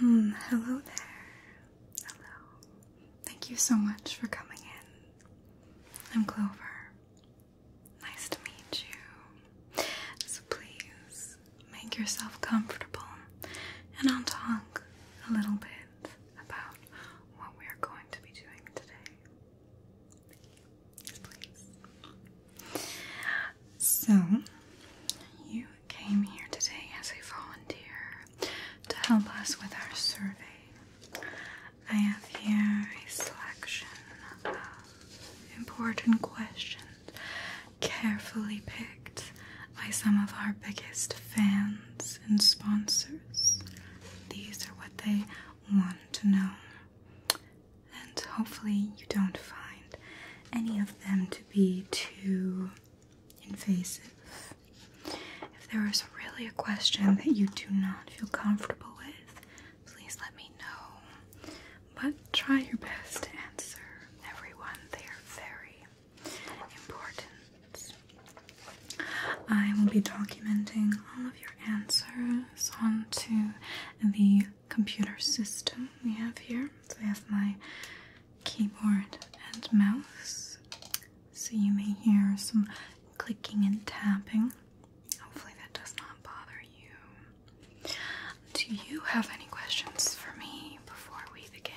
Hmm, hello there. Hello. Thank you so much for coming in. I'm Clover. Nice to meet you. So please make yourself comfortable, and I'll talk a little bit about what we're going to be doing today. So, you came here today as a volunteer to help us with our survey. I have here a selection of important questions carefully picked by some of our biggest fans and sponsors. These are what they want to know. And hopefully, you don't find any of them to be too invasive. If there is really a question that you do not feel comfortable with, please let me know. But try your best to answer everyone. They are very important. I will be documenting all of your answers onto the computer system we have here. So I have my keyboard and mouse. So you may hear some clicking and tapping. Hopefully that does not bother you. Do you have any questions for me before we begin?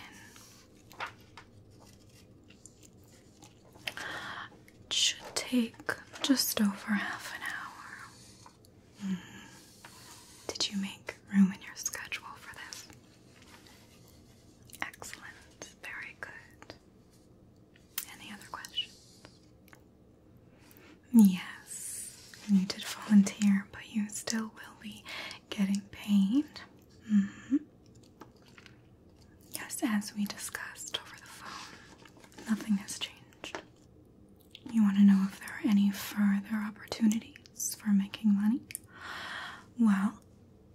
It should take just over half an hour. Mm-hmm. Did you make room in your schedule for this? Excellent. Very good. Any other questions? Yes, you did volunteer but you still will be getting paid. Mm-hmm. Yes, as we discussed over the phone, nothing has changed. You want to know if there are any further opportunities for making money? Well,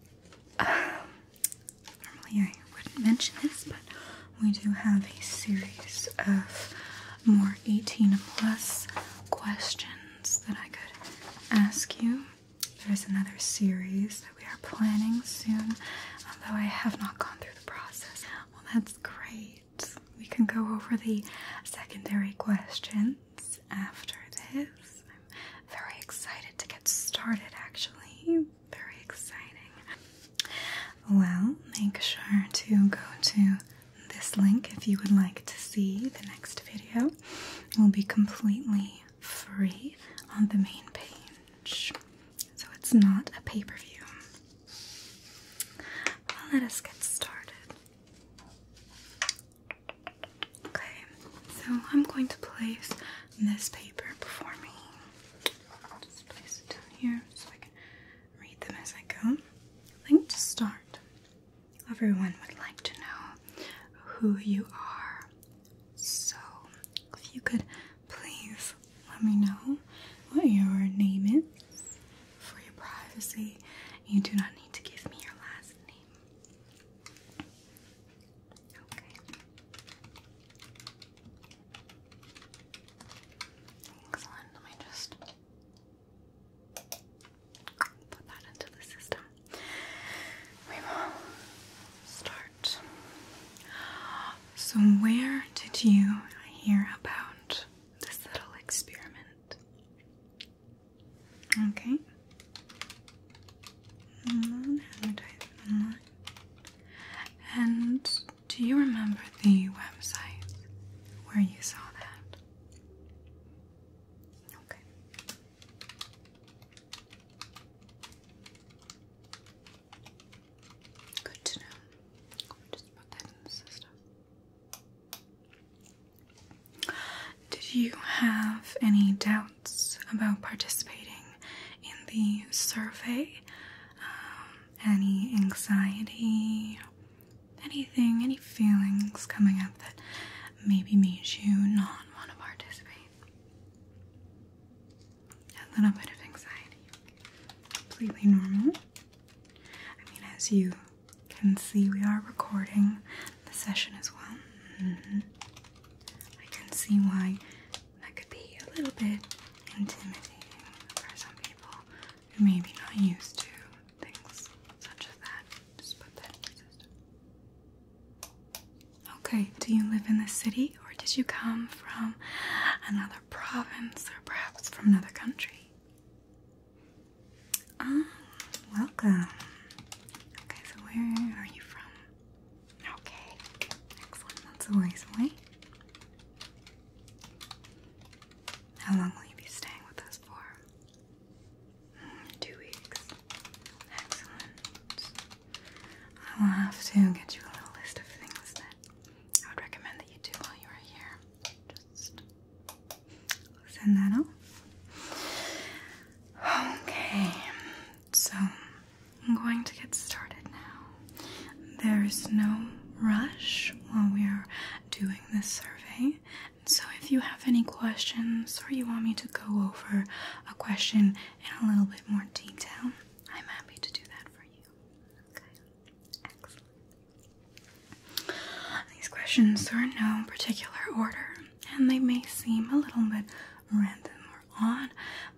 normally I wouldn't mention this, but we do have a series of more 18 plus questions that I could ask you. There is another series that we are planning soon, although I have not gone through the process. Well, that's great. We can go over the secondary questions after this. I'm very excited to get started, actually. Very exciting. Well, make sure to go to this link if you would like to see the next video. will be completely free on the main page. So it's not a pay-per-view. let us get started. Okay, so I'm going to place this paper before me. just place it down here so I can read them as I go. I think to start, everyone would like to know who you are. So, if you could please let me know what your name is for your privacy. You do not need to give me your last name. Okay. Excellent. Let me just put that into the system. We will start. So, where did you hear about this little experiment? Okay. And do you remember the website where you saw that? Okay. Good to know. Just put that in the system. Did you have any doubts about participating in the survey? Um, any anxiety, anything, any feelings coming up that maybe makes you not want to participate. A little bit of anxiety. Completely normal. I mean, as you can see, we are recording the session as well. Mm-hmm. I can see why that could be a little bit intimidating for some people who maybe not used to Okay, do you live in the city or did you come from another province or perhaps from another country? Ah, welcome. Okay, so where are you from? Okay, excellent. That's a ways away. How long will you be staying with us for? two weeks. Excellent. I will have to get you a little list of things that I would recommend that you do while you are here. Just send that off. Okay, so I'm going to get started now. There is no rush while we are doing this survey, so, if you have any questions or you want me to go over a question in a little bit more detail, I'm happy to do that for you. Okay, excellent. These questions are in no particular order and they may seem a little bit random or odd,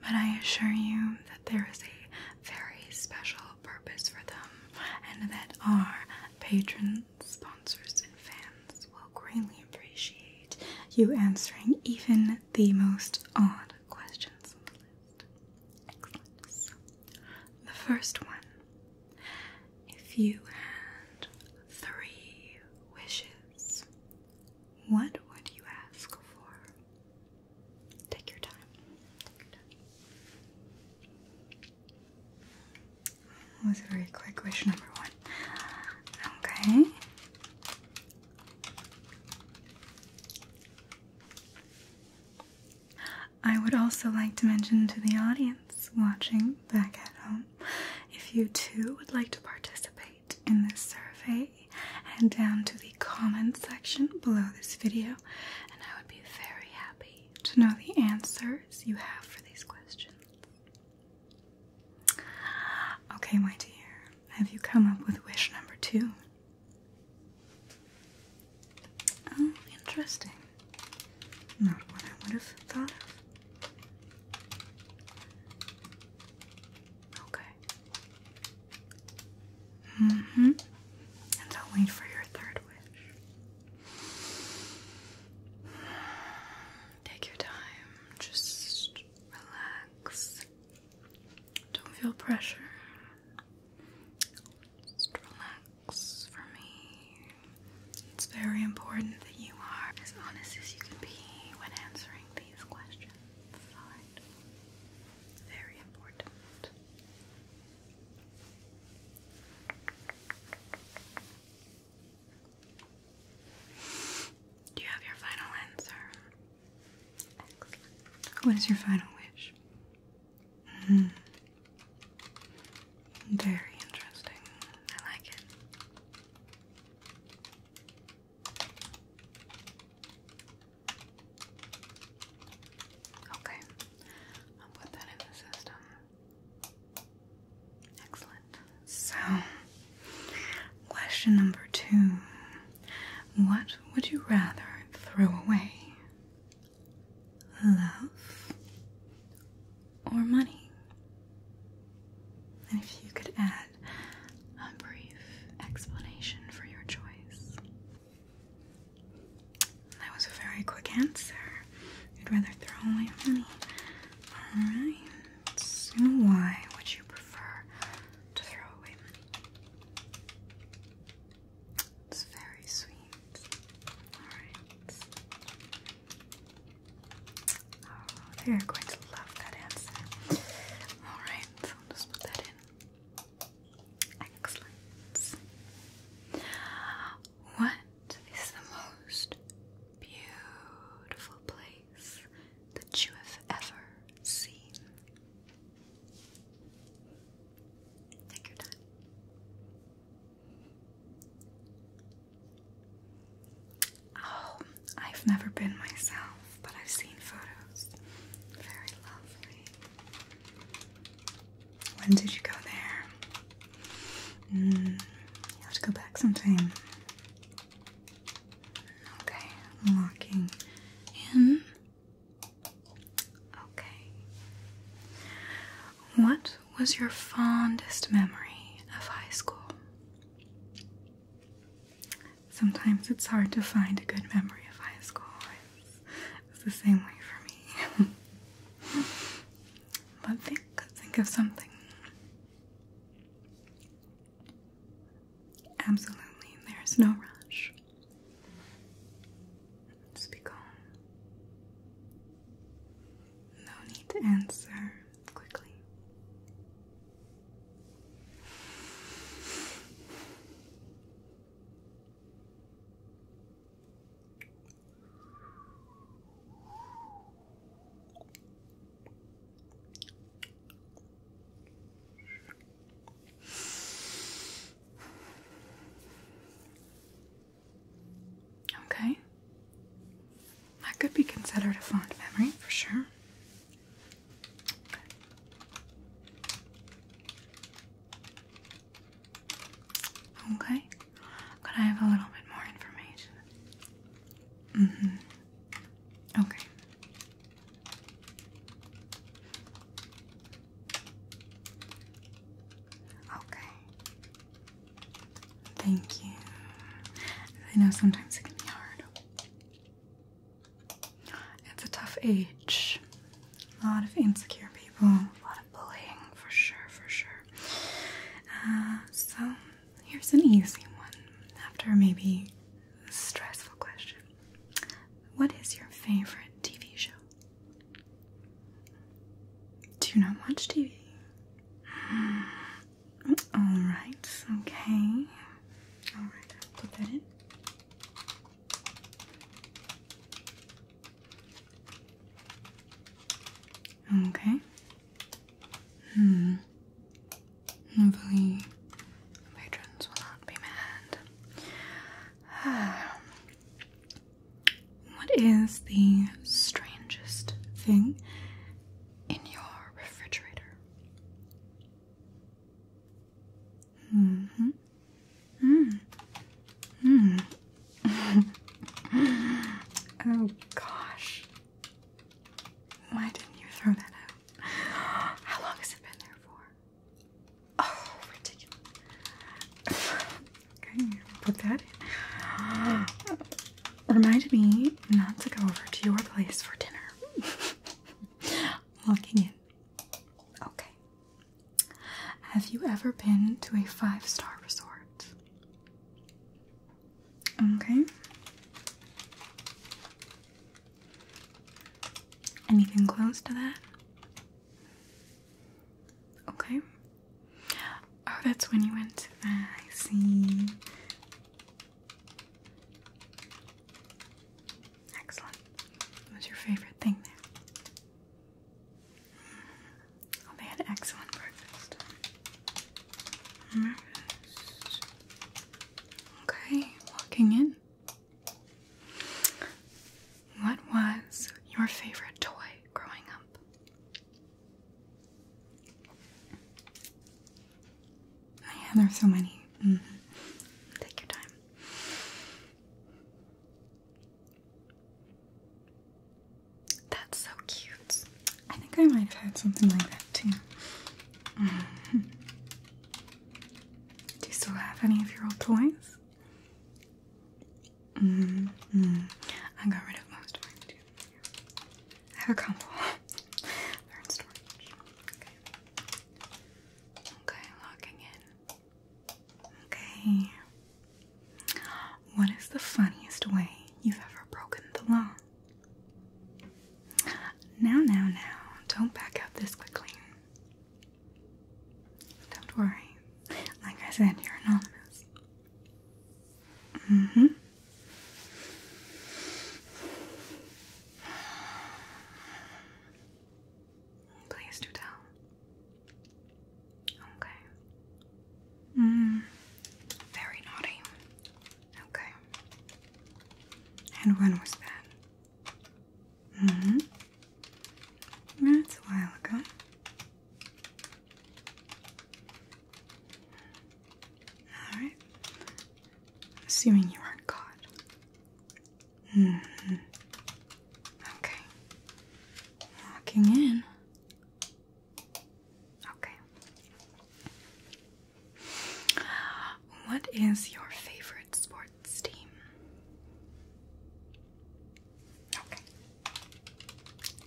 but I assure you that there is a very special purpose for them and that our patrons sponsors, and fans will greatly appreciate you answering even the most odd questions on the list. the first one if you had three wishes, what would you ask for? Take your time. That was very quick. Wish number one. Okay. I would also like to mention to the audience watching back at home if you too would like to participate in this survey, head down to the comment section below this video, and I would be very happy to know the answers you have for these questions. Okay, my dear, have you come up with wish number two? Oh, interesting. Not what I would have thought of. Okay. Mm hmm. And I'll wait for your third wish. Take your time, just relax. Don't feel pressure. Just relax for me. It's very important that you are as honest as you can be when answering these questions. Very important. Do you have your final answer? What is your final wish? Hmm. Very interesting. I like it. Okay, I'll put that in the system. Excellent. So, question number two What would you rather throw away? Love or money? And if you could add a brief explanation for your choice. That was a very quick answer. You'd rather throw away money. Alright. why would you prefer to throw away money? It's very sweet. Alright. Oh, are going to love that answer. Alright, so i put that in. Excellent. What so is the most beautiful place that you have ever seen. Take your time. Oh, I've never been myself, but I've seen photos. Very lovely. When did you go there? Mm, have to go back sometime. Okay, locking in. Okay. What was your fondest memory of high school? Sometimes it's hard to find a good memory of high school. it's the same way for me. but think think of something. Absolutely, there's no rush. Just be calm. No need to answer quickly. Okay. That could be considered a fond memory for sure. Okay. Could I have a little bit more information? Mm-hmm. Okay. Okay. Thank you. I know sometimes it can be hard. It's a tough age. A lot of insecure people, a lot of bullying, for sure, for sure. Uh, so here's an easy one after maybe a stressful question. What is your favorite TV show? Do you not watch TV? Mm. Alright, okay. Alright, put that in. Okay. Hmm. Hopefully, patrons will not be mad. what is the strangest thing in your refrigerator? Mm hmm. Mm. oh gosh. Why didn't you throw that out? How long has it been there for? Oh, ridiculous. okay, put that in. Remind me not to go over to your place for dinner. Locking in. Okay. Have you ever been to a five star resort? Okay. Anything close to that? Okay. Oh, that's when you went to that. I see. Excellent. What was your favorite thing there? Oh, they had excellent breakfast. Okay, walking in. What was your favorite toy growing up? Oh, yeah, so many. Mm-hmm. Take your time. That's so cute. I think I might have had something like that too. Do you still have any of your old toys? Mm-hmm. I got rid of most of mine too. have a couple. They're in storage. Okay, logging in. Okay. What is the funniest way you've ever broken the law? Now, now, now, don't back out this quickly. Don't worry. Like I said, you're anonymous. hmm. Please do tell. Okay. Mm. Very naughty. Okay. And when was that? hmm That's a while ago. Alright. Assuming you aren't caught. hmm Okay. Walking in. Okay. What is your favorite sports team? Okay.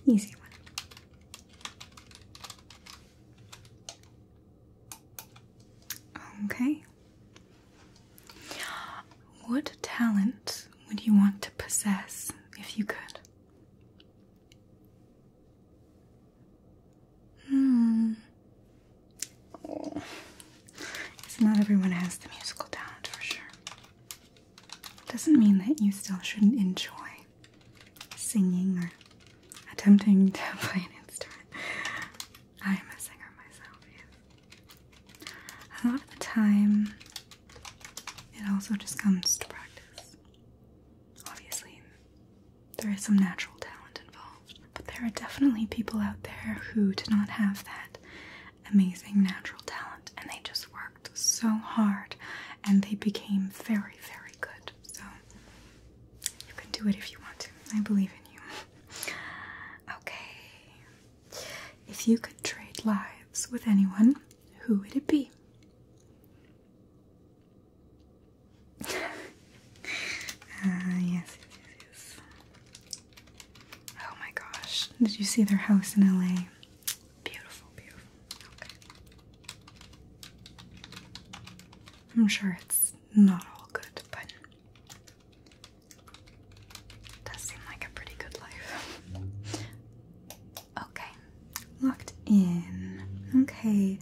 Easy one. Okay. What talent would you want to possess if you could? Hmm. It's not everyone has the musical talent for sure. Doesn't mean that you still shouldn't enjoy singing or attempting to play an instrument. I am a singer myself, A lot of the time, it also just comes to practice. Obviously, there is some natural talent involved, but there are definitely people out there who do not have that amazing natural talent and they just worked so hard and they became very, very good. So you can do it if you want to. I believe in you. Okay. If you could trade lives with anyone, who would it be? Uh, yes, yes, yes. Oh my gosh. Did you see their house in LA? Beautiful, beautiful. Okay. I'm sure it's not all good, but does seem like a pretty good life. Okay, locked in. Okay,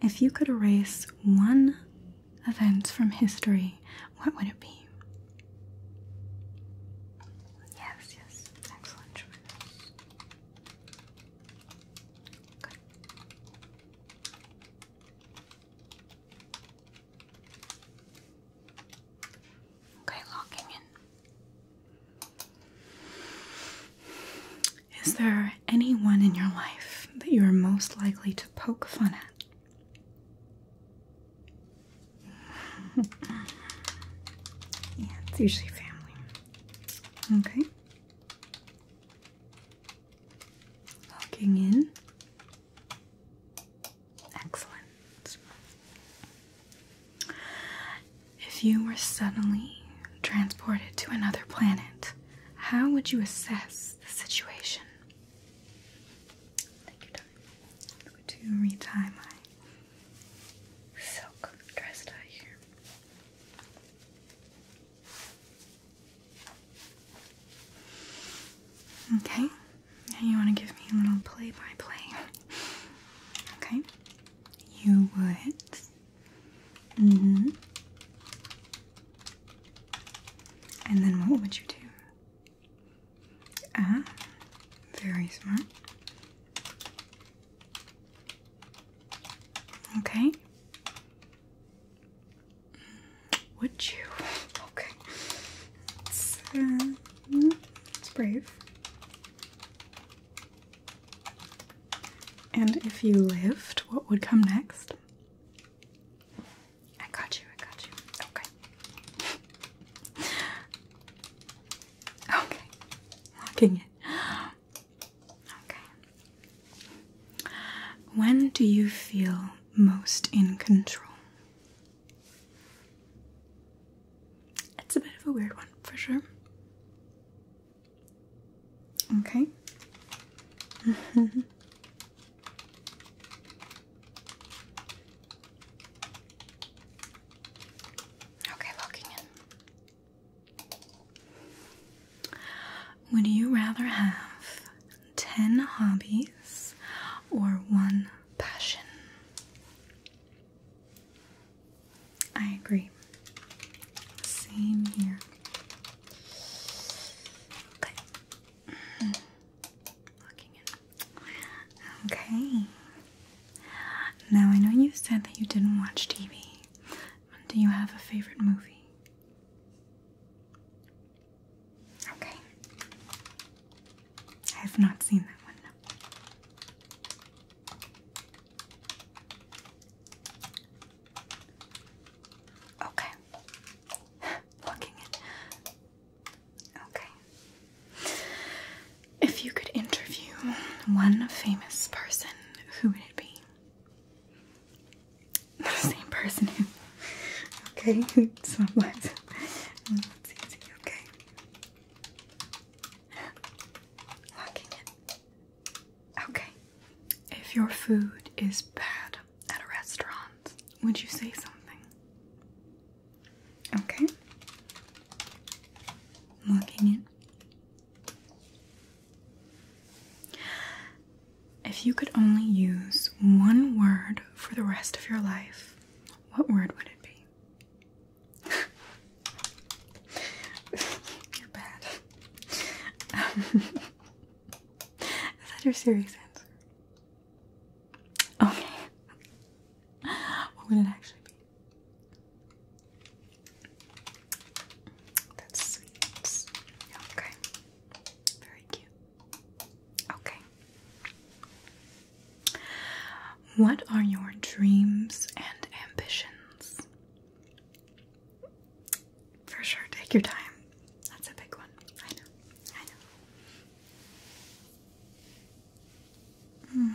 if you could erase one event from history, what would it be? Yes, yes, excellent choice. Okay, locking in. Is there anyone in your life that you are most likely to poke fun at? yeah, it's usually family. Okay. Locking in. Excellent. If you were suddenly transported to another planet, how would you assess the situation? Take your time. I'm going my silk dress tie here. Okay, now you want to give me a little play by play. Okay, you would Mm hmm. And then what would you do? Ah, very smart. Okay. Would you? Okay. it's uh, hmm, brave. And if you lived, what would come next? I got you, I got you. Okay. okay. Locking it. Okay. When do you feel most in control? It's a bit of a weird one, for sure. Okay. okay, locking in. Would you rather have 10 hobbies or one passion? I agree. Same here. Okay. Now I know you said that you didn't watch TV. Do you have a favorite movie? Okay. I have not seen that one. Okay. Looking in. Okay. If you could interview one famous person, who would it be? The same person who. Okay, so let's, let okay. Locking it. Okay. If your food is bad at a restaurant, would you say something? Okay. Looking in. If you could only use one word for the rest of your life, what word would it be? You're bad is that your serious answer? Okay. What would it actually be? That's sweet. Okay. Very cute. Okay. What are your dreams and ambitions? For sure, take your time. That's a big one. I know. I know. Mm.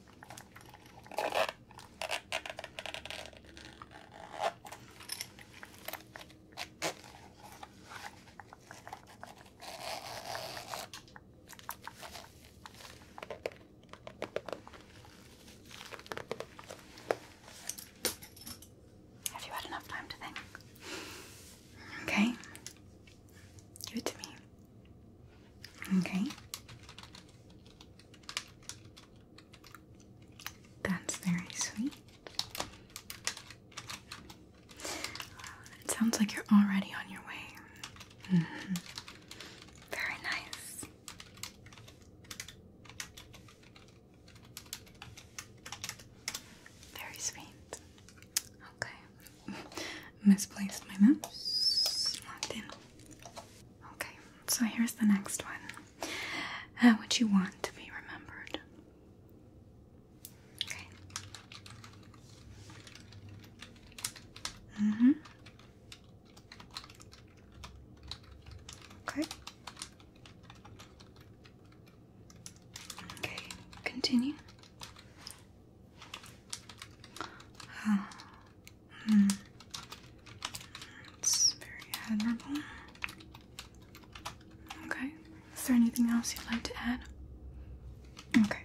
Have you had enough time to think? Okay. Give it to me. Okay. That's very sweet. It sounds like you're already on your way. Mm-hmm. Very nice. Very sweet. Okay. Misplaced my mouse. Locked Okay, so here's the next one. What you want to be remembered? Okay. Mm hmm. Okay. Okay, continue. It's very admirable. Okay. Is there anything else you'd like to add? Okay.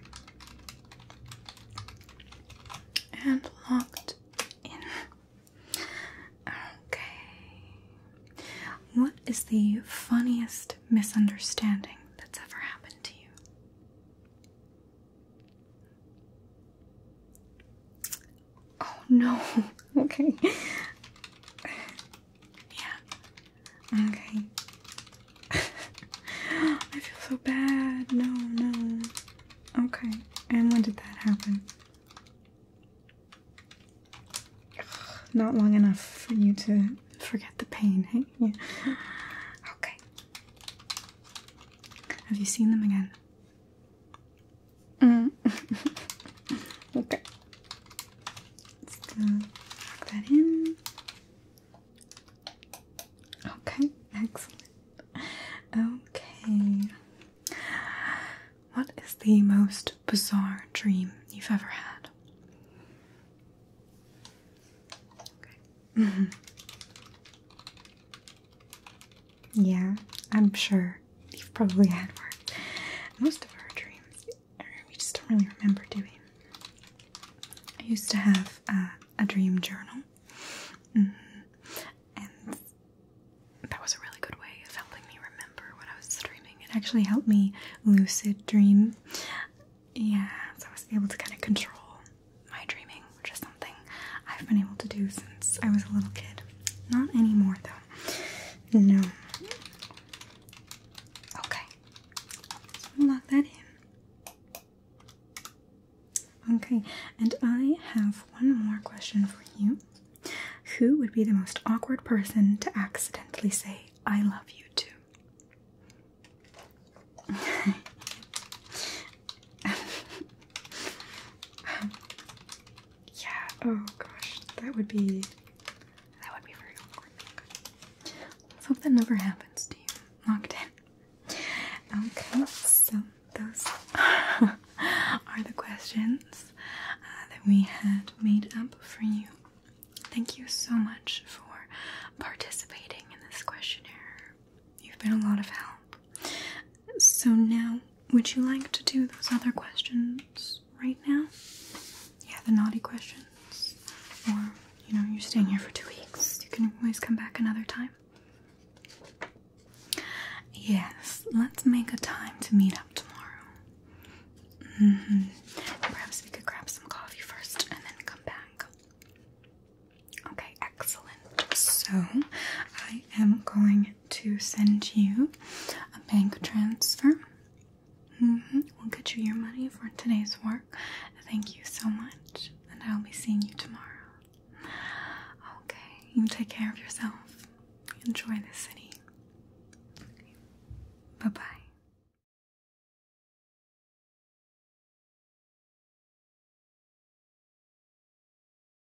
And locked in. Okay. What is the funniest misunderstanding that's ever happened to you? Oh no. okay. yeah. Okay. I feel so bad. No, no. Okay. And when did that happen? Not long enough for you to forget the pain, Yeah. Okay. Have you seen them again? Mm. okay. Let's plug that in. Okay, excellent. Okay. What is the most bizarre dream you've ever had? Mm-hmm. Yeah, I'm sure you've probably had one. Most of our dreams, we just don't really remember doing. I used to have uh, a dream journal, mm-hmm. and that was a really good way of helping me remember what I was dreaming. It actually helped me lucid dream. Yeah, so I was able to kind of control my dreaming just something I've been able to do since I was a little kid. Not anymore, though. No. Okay. lock that in. Okay, and I have one more question for you. Who would be the most awkward person to accidentally say, I love you to? yeah. Oh gosh, that would be that would be very awkward. Let's hope that never happens to you. Locked in. Okay, so those are the questions uh, that we had made up for you. Thank you so much for participating in this questionnaire. You've been a lot of help. So now, would you like to do those other questions right now? Yeah, the naughty questions. Or, you know, you're staying here for two weeks. You can always come back another time. Yes, let's make a time to meet up tomorrow. Mm -hmm. Perhaps we could grab some coffee first and then come back. Okay, excellent. So I am going to send you a bank transfer. Mm-hmm. We'll get you your money for today's work. Thank you so much, and I'll be seeing you tomorrow. Okay, you take care of yourself. Enjoy the city. Bye bye.